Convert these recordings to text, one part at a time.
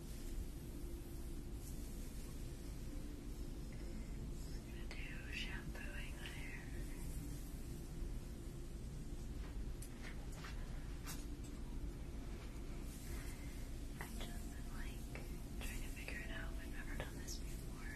We're going to do shampooing the hair. i just like trying to figure it out. I've never done this before.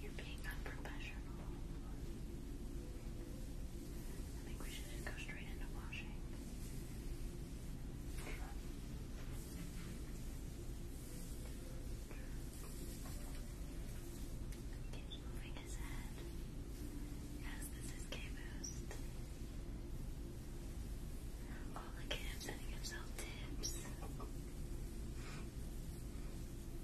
You're being unprofessional. I think we should go straight into washing. Keeps moving his head. Yes, this is K-Boost. Oh, look at sending himself tips.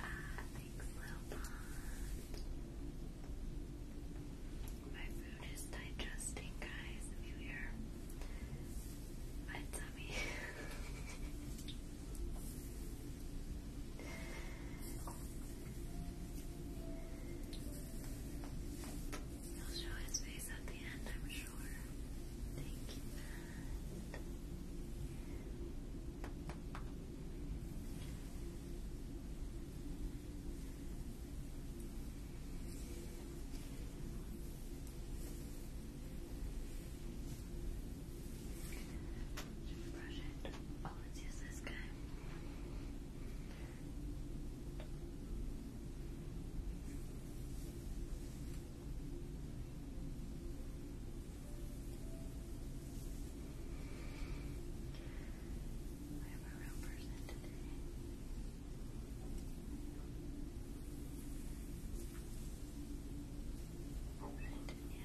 ah, thanks, little pond. My food is digesting, guys. If you hear my tummy. He'll show his face at the end, I'm sure. Thank you, Should we brush it? Oh, let's use this guy. I have a real person today. And now,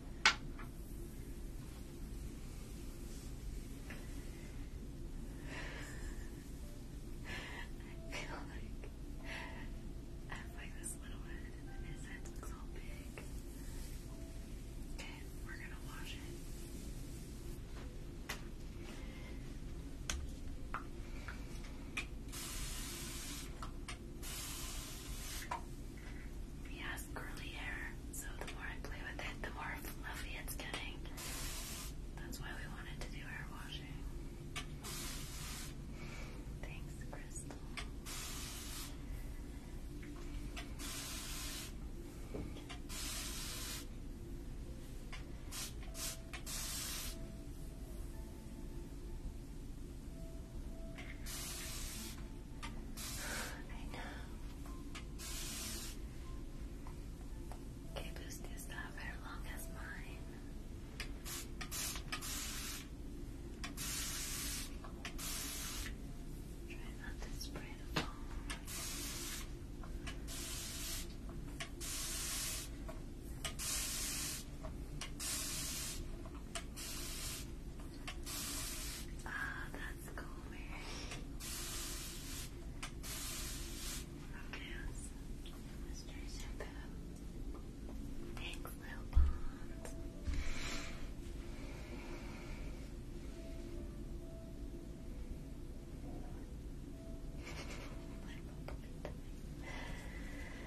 I feel like I have like this little head and his head looks all big. Okay, we're gonna wash it. He has curly hair, so the more I play with it, the more fluffy it's getting. That's why we wanted to do hair washing. Thanks, Crystal. Thank I know. Okay, boost is not very long as mine. Try not to spray the foam. Ah, oh, that's cool, Okay, let's try shampoo. Thanks, Lil Bond.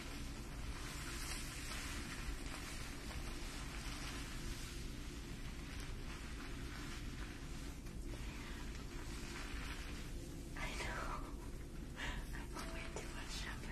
I know. I put way too much shampoo.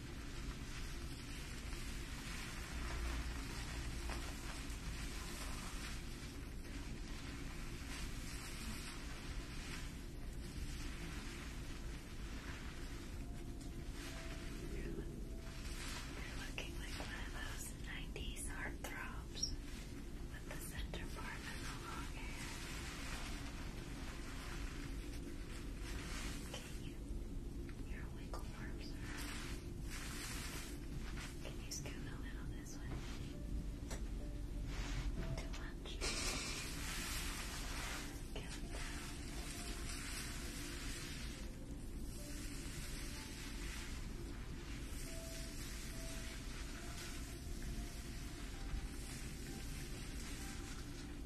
You're, you're looking like one of those 90s heartthrobs with the center part and the long hair. Okay, your wiggle arms are. Can you scoot a little this way? Too much.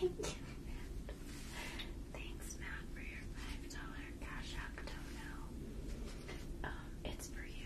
Thank you, Thanks, Matt, for your $5 Cash App dono. Um, it's for you.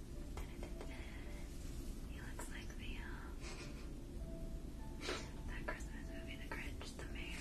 He looks like the uh, that Christmas movie, The Grinch, the mayor.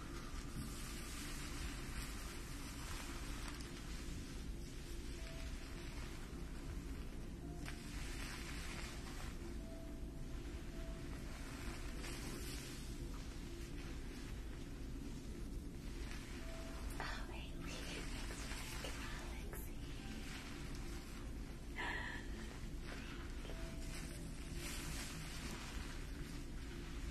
Oh, wait, we can expect galaxy. Thank you.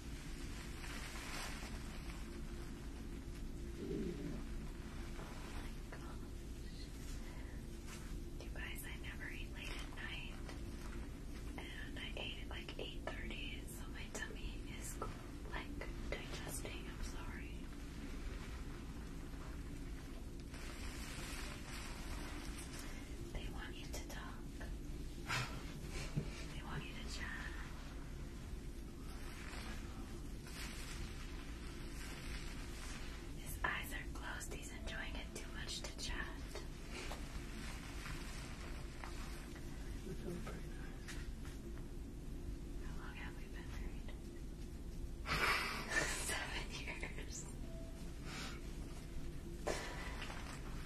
Oh you guys, I never eat late at night, and I ate at like 8.30, so my tummy is like digesting, I'm sorry. They want you to talk. They want you to chat. His eyes are closed. He's enjoying it too much to chat. How long have we been married? Seven years.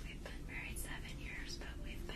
We've been married seven years, but we've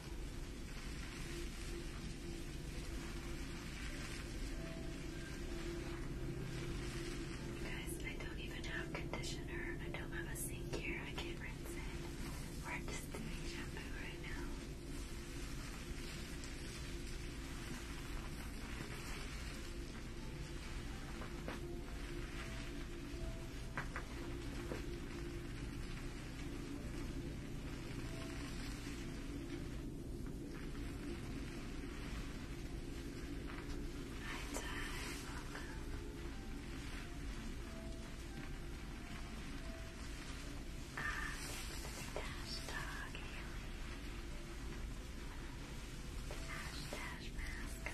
Guys, I don't even have conditioner. I don't have a sink here. I can't rinse it. We're just doing shampoo right now. Hi, Ty. Welcome. Ah, the hashtag really. The hashtag mask on.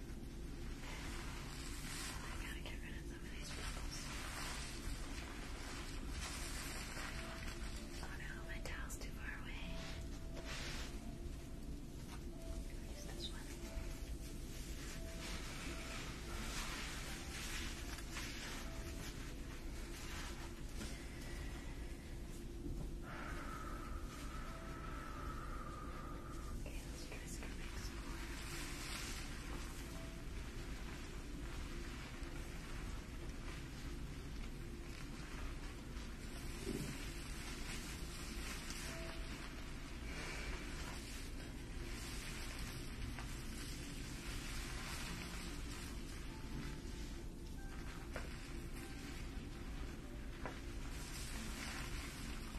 I gotta get rid of some of these bubbles. Oh no, my towel's too far away. use this one. Okay, let's try some next one. Okay,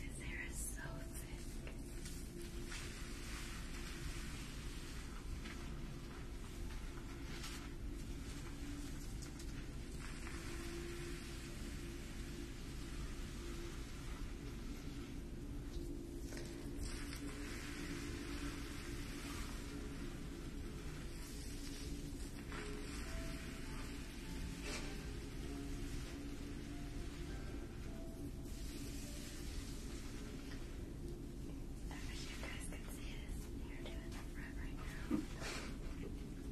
This hair is so thick. I you guys could see this. You're doing that right now.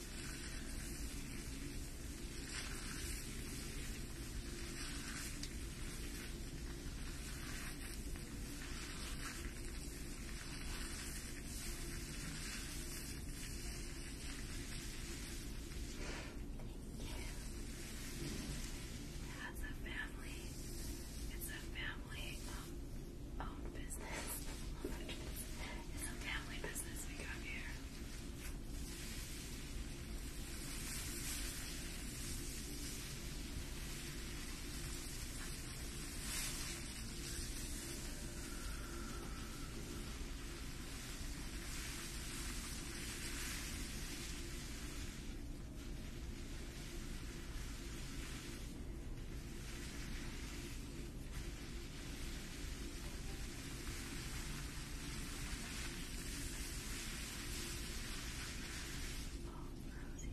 As a family, it's a family um, owned business. It's a family business we got here. Oh, Rosie's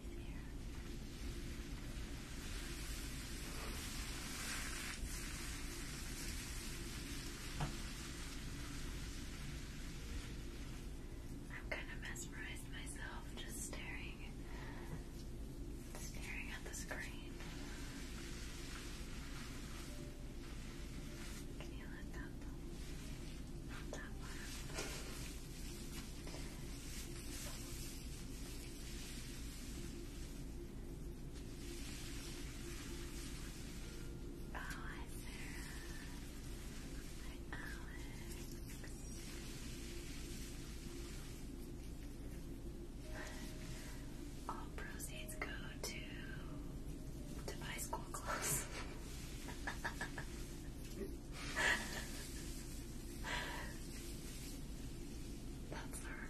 I'm kind of mesmerized myself just staring staring at the screen. Can you let that Not that far. Oh, hi Sarah. Hi Alex. All proceeds go to to buy school clothes. That's our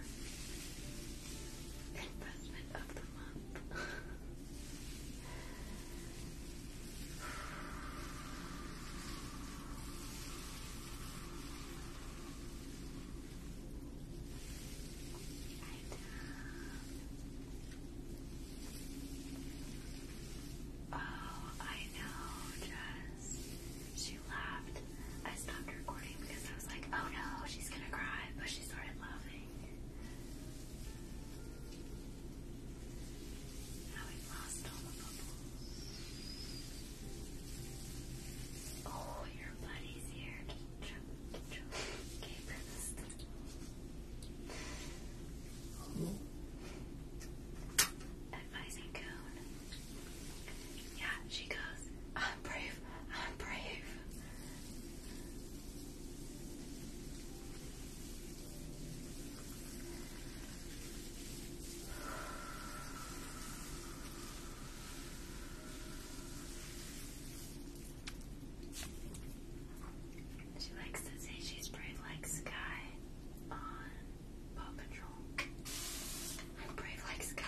investment of the month. Um, oh, I know, Jess. She laughed. I stopped recording because I was like, oh no, she's gonna cry, but she started laughing. Now we lost all the bubbles. Oh, your buddy's here. Okay, breakfast. Oh. Advising Coon. Yeah, she goes, I'm brave, I'm brave. She likes to say she's brave like Sky on Paw Patrol. brave like Sky.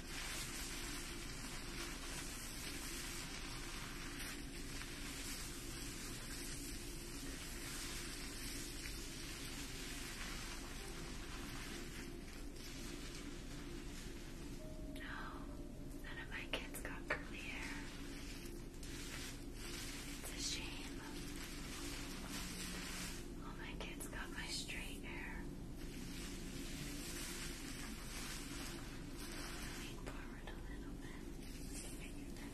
No, oh, none of my kids got curly hair. It's a shame. All oh, my kids got my straight hair. Lean forward a little bit. Look at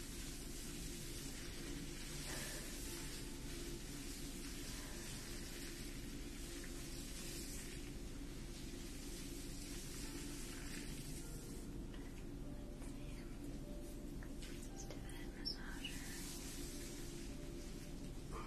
Let's do that massager. Good.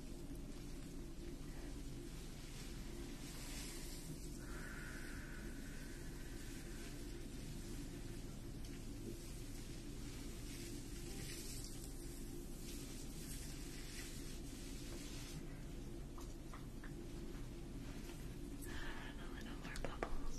A little more bubbles.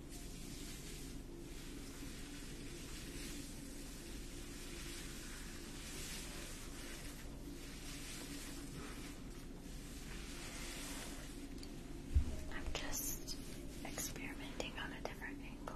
I'm just experimenting on a different angle.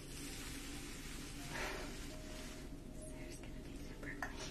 Sarah's gonna be super clean. Good.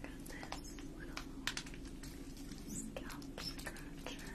Got this little scalp scratcher.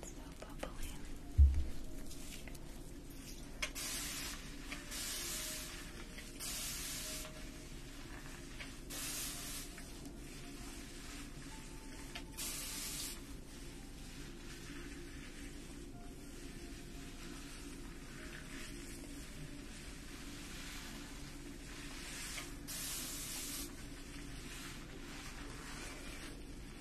It's so bubbly so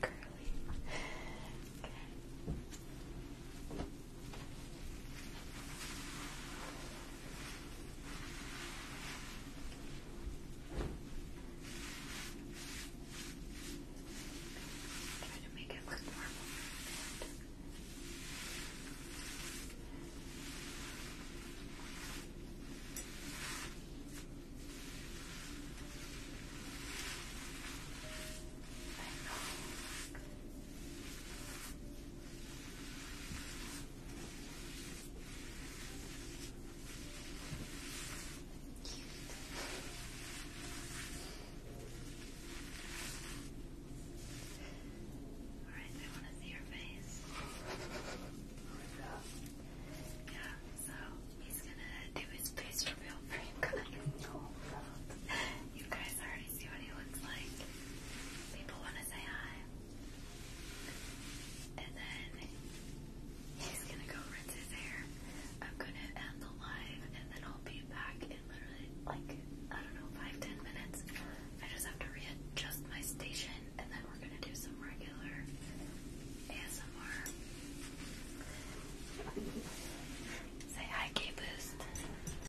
curly. Okay. Try to make it look normal. I know. All right, I want to see your face. Yeah, so he's gonna do his face reveal for you guys see what he looks like. People want to say hi. And then he's gonna go rinse his hair. I'm gonna end the live and then I'll be back in literally like, I don't know, five, ten minutes. I just have to readjust my station and then we're gonna do some regular ASMR. Say hi, K Boost.